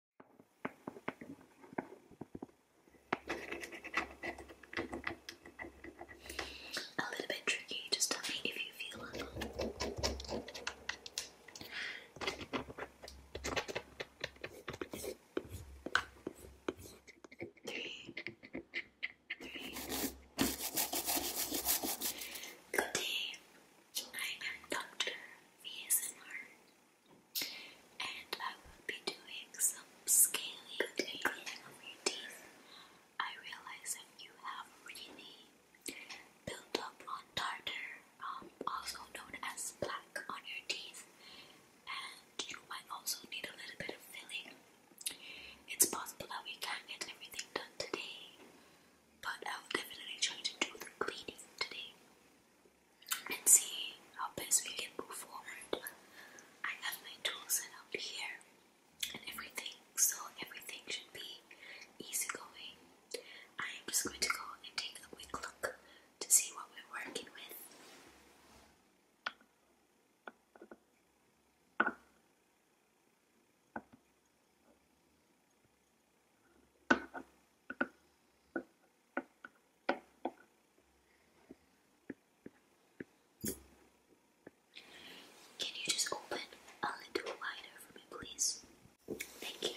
A little bit tricky, just tell me if you feel it. Three. Good day. I am Dr. VSMR. And I will be doing some scaling on your teeth. I realize that you have really built up on tartar, um, also known as plaque, on your teeth, and you might also need a little bit of filling. It's possible that we can't get everything done today, but I will definitely try to do the cleaning today and see how best we can move forward. I have my tools set up here and everything, so everything should be easygoing. I am just going to go and take a quick look to see what we're working with. Can you just open a little wider for me, please? Thank you.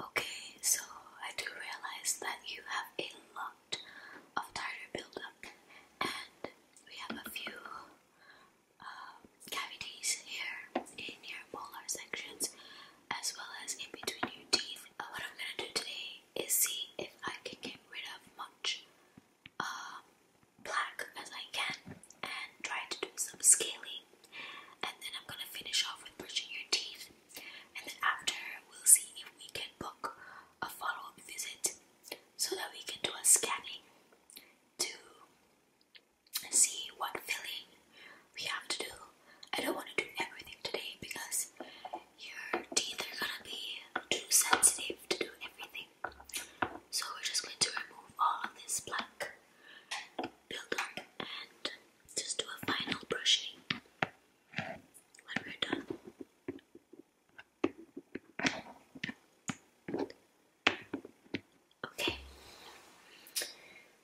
Okay, so I do realize that you have a lot of tartar buildup, and we have a few uh, cavities here in your polar sections, as well as in between your teeth. Uh, what I'm gonna do today is see if I can get rid of much black uh, as I can and try to do some scaling. And then I'm gonna finish off with brushing your teeth. And then after, we'll see if we can book a follow up visit so that we can do a scanning to see what filling we have to do. I don't want to do everything today because your teeth are gonna be too sensitive to do everything. So we're just going to remove all of this black buildup and just do a final brushing when we're done. Okay,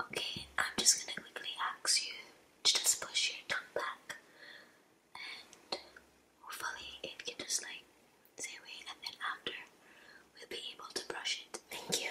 Okay, I'm just going to quickly ask you to just push your tongue back and hopefully it can just like stay away and then after we'll be able to brush it. Thank you.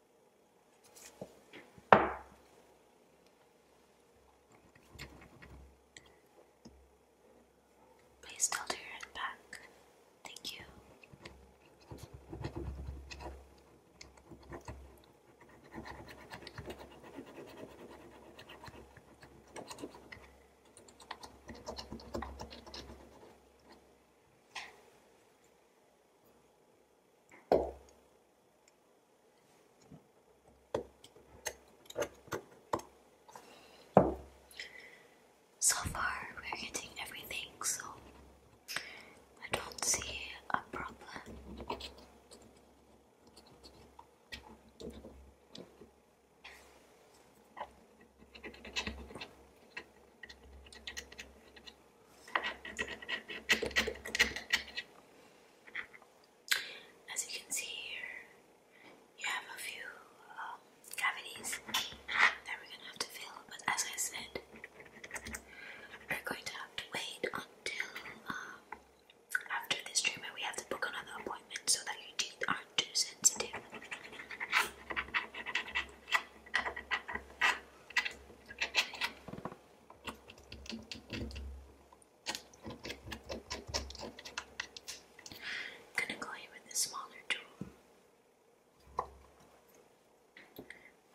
Please tilt your head back. Thank you. So far, we're getting everything, so I don't see a problem. As you can see here, you have a few um, cavities that we're gonna have to fill, but as I said, we're going to have to wait until um, after this treatment. We have to book another appointment so that your teeth aren't too sensitive gonna go in with a smaller tool.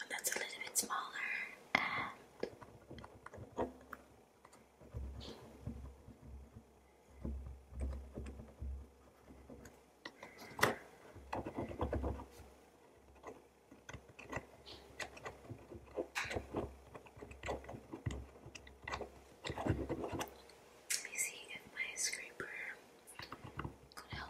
that's a little bit smaller let me see if my scraper could help.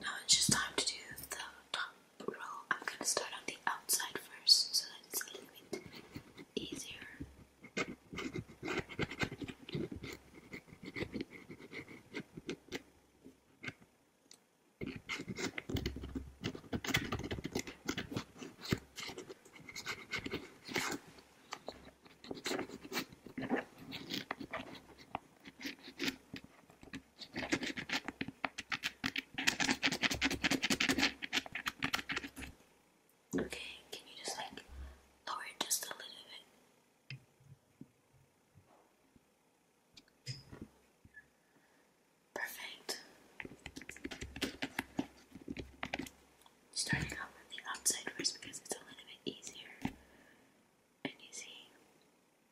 Now it's just time to do the top row. I'm gonna start on the outside first so that it's a little bit easier. Okay, can you just like lower it just a little bit? Perfect. Starting out with the outside first because it's a little bit easier. And you see,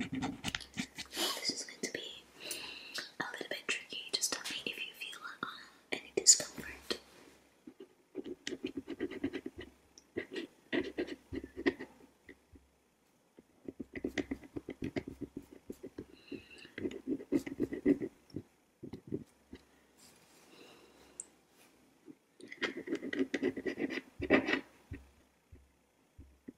This is going to be a little bit tricky. Just tell me if you feel uh, any discomfort.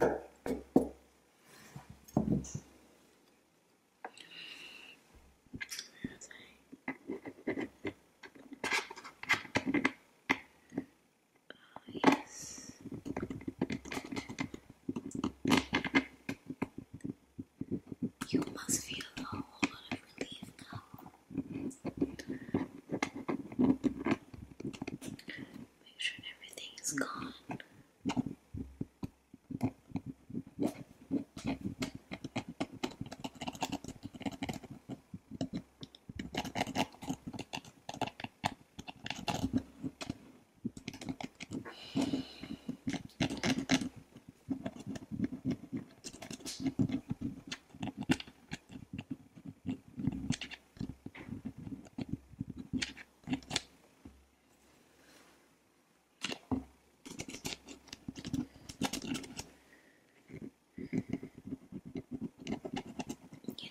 Oh, yes. You must feel a whole lot of relief now. Make sure everything is gone. You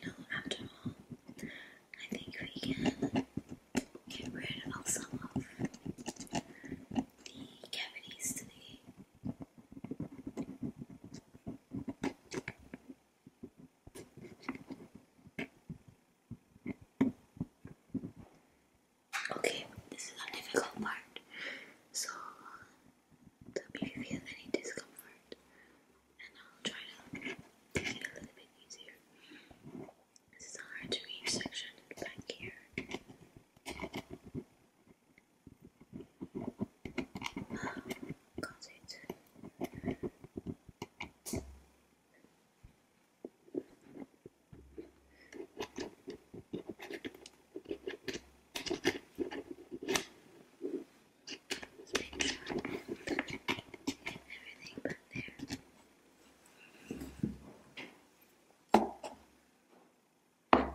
know, after all, I think we can get rid of some of the cavities today. Okay, this is a difficult part. So tell me if you feel any discomfort and I'll try to make it a little bit easier. This is a hard to section back here. Because it everything but there. Okay.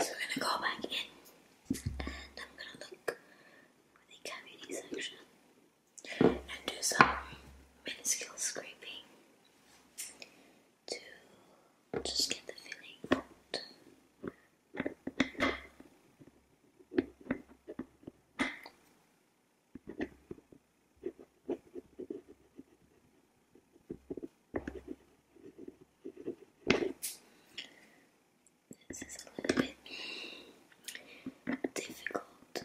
So we're gonna go back in and I'm gonna look for the cavity section and do some minuscule scraping to just get the feeling this is a little bit difficult.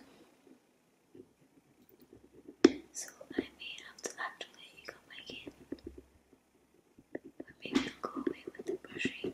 So I may have to actually come back in. maybe I'll go away with the brushing.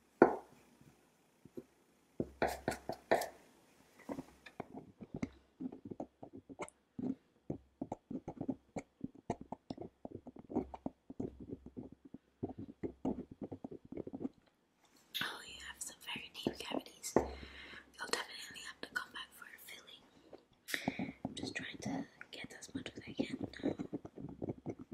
Oh, you have some very deep cavities. You'll definitely have to come back for a filling. I'm just trying to get as much as I can now.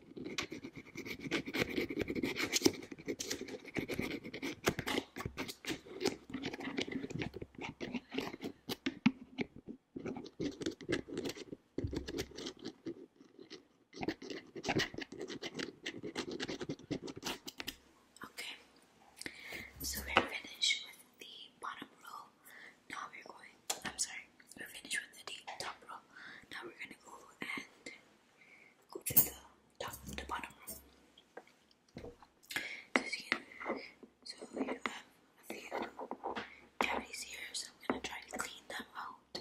Okay, so we're finished with the bottom row. Now we're going, I'm sorry, we're finished with the top row. Now we're gonna go and go to the top, the bottom row. As so you have a few I'm gonna try to clean them out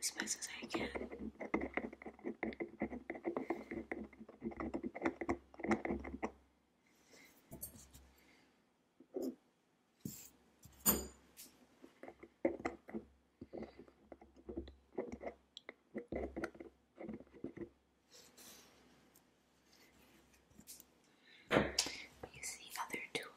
as best as I can. Use the other tool.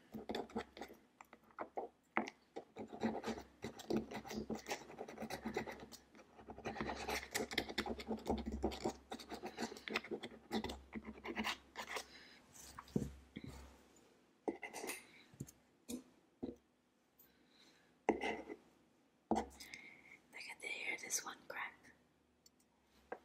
I can hear this one crack. And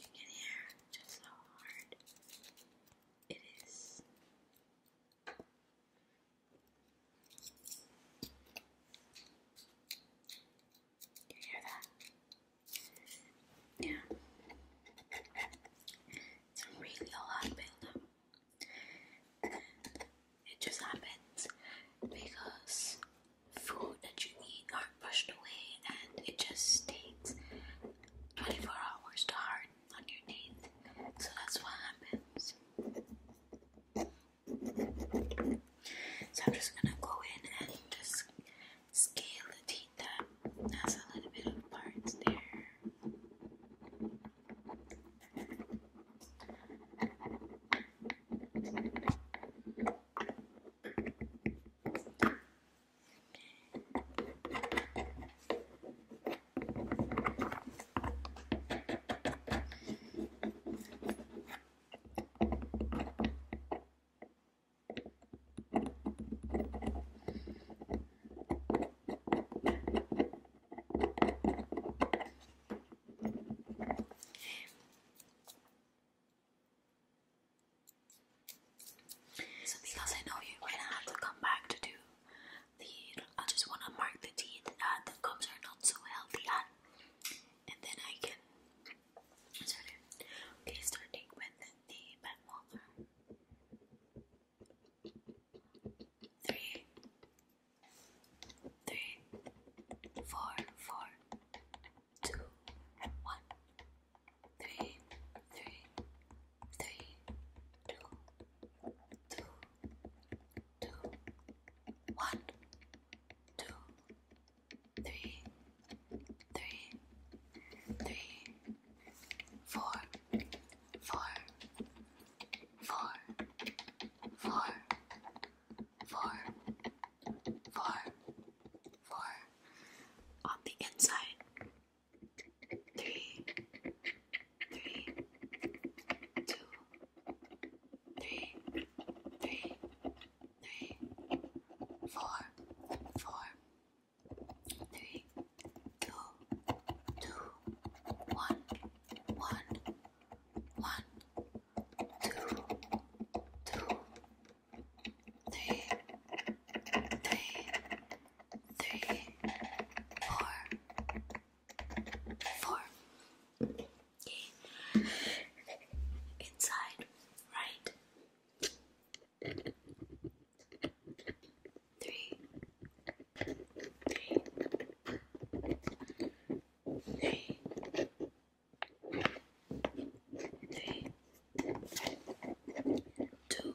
you can just how hard it is you hear that? Yeah. It's really a lot of It just happens because food that you eat are not pushed away and it just takes 24 hours to hard on your teeth. So that's what happens. So I'm just gonna go in and just scale the teeth that has a little bit of parts there. So because I know you're gonna have to come back to do here I just want to mark the teeth uh, the gums are not so healthy and, and then I can start starting with the pen three three four four two one three three three two two, two, one, two, three, three, three, four, four, four, four, four, four, four. On the inside, three, three, two, three, three, three, four, four, three, two, two, one, one, one, two, two, three, three, four, four. Okay. Inside, right. Three, three, three, three, two, two,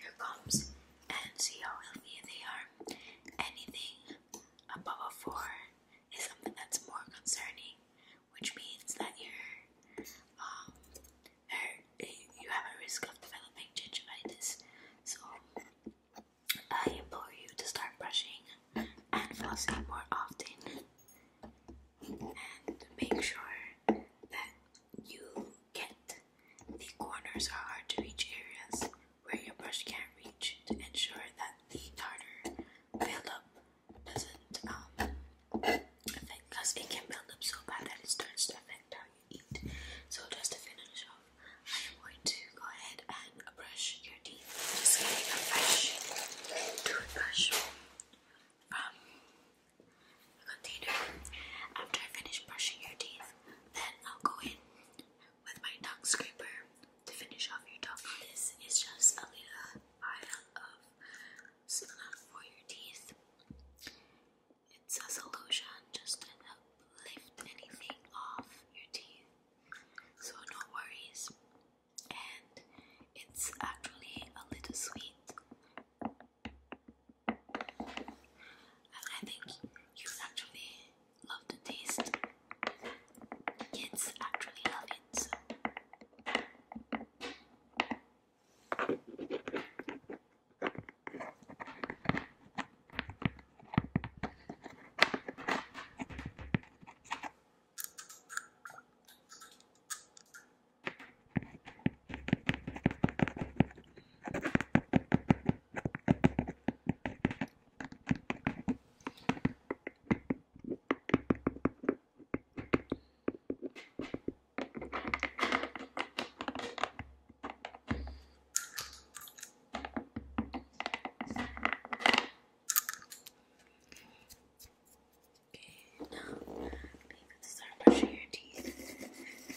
your comps and see how healthy they are. Anything above a 4 is something that's more concerning, which means that you're, um, you have a risk of developing gingivitis. So I implore you to start brushing and flossing more often and make sure that you get. The corners are hard to reach areas where your brush can't reach to ensure that the tartar buildup doesn't um, affect because it can build up so bad that it starts to affect how you eat. So just to finish off, I am going to go ahead and brush your teeth. just getting a fresh toothbrush from After I finish brushing your teeth, then I'll go in with my tongue scraper to finish off your tongue. This is just a little item of silicone for your teeth. It's a solution just to help lift anything off your teeth. So no worries. And it's actually a little sweet. I think you actually love the taste. Kids actually love it. Okay, now we can start brushing your teeth.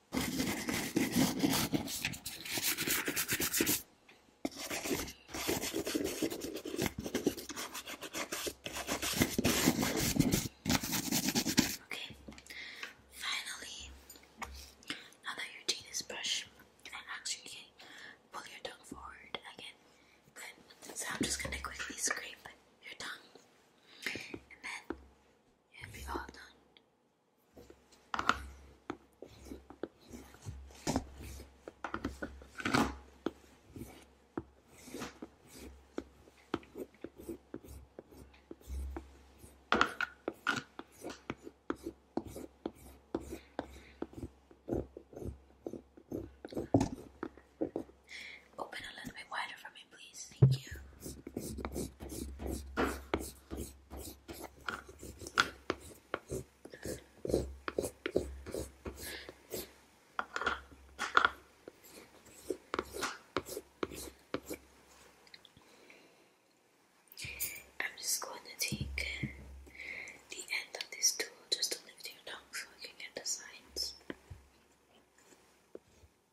Okay, finally, now that your teeth is brushed, I actually can pull your tongue forward again. Good. So I'm just gonna quickly scrape your tongue and then It'll Open a little wider for me. Thank you. I'm just going to take the end of this tool just to lift your tongue so I can get the sides.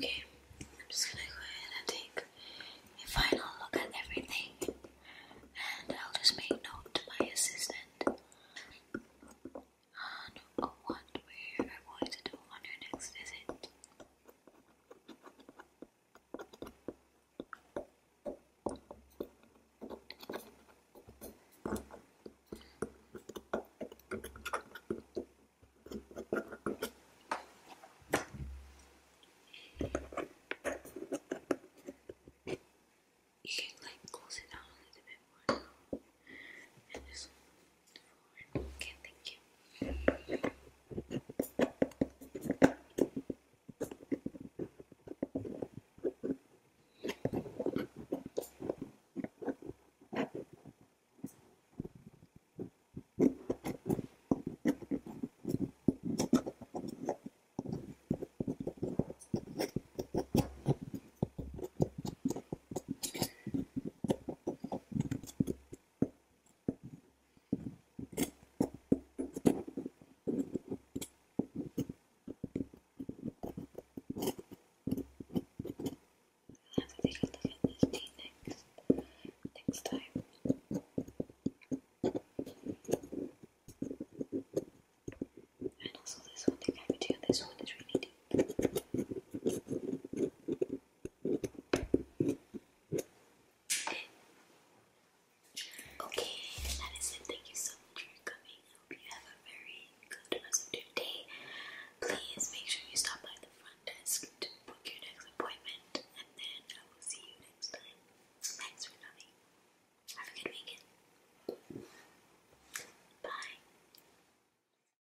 Okay, I'm just gonna go ahead and take a final look at everything, and I'll just make note to my assistant on what we're going to do on your next visit. You can like close it down a little bit more Okay, thank you. Have a little look at this next, next time. And also this one, this one is really deep. Okay, that is it. Thank you so much for coming. I hope you have a very good rest of your day. Please make sure you stop by the front desk to book your next appointment, and then I will see you next time. Thanks for coming. Have a good weekend. Bye.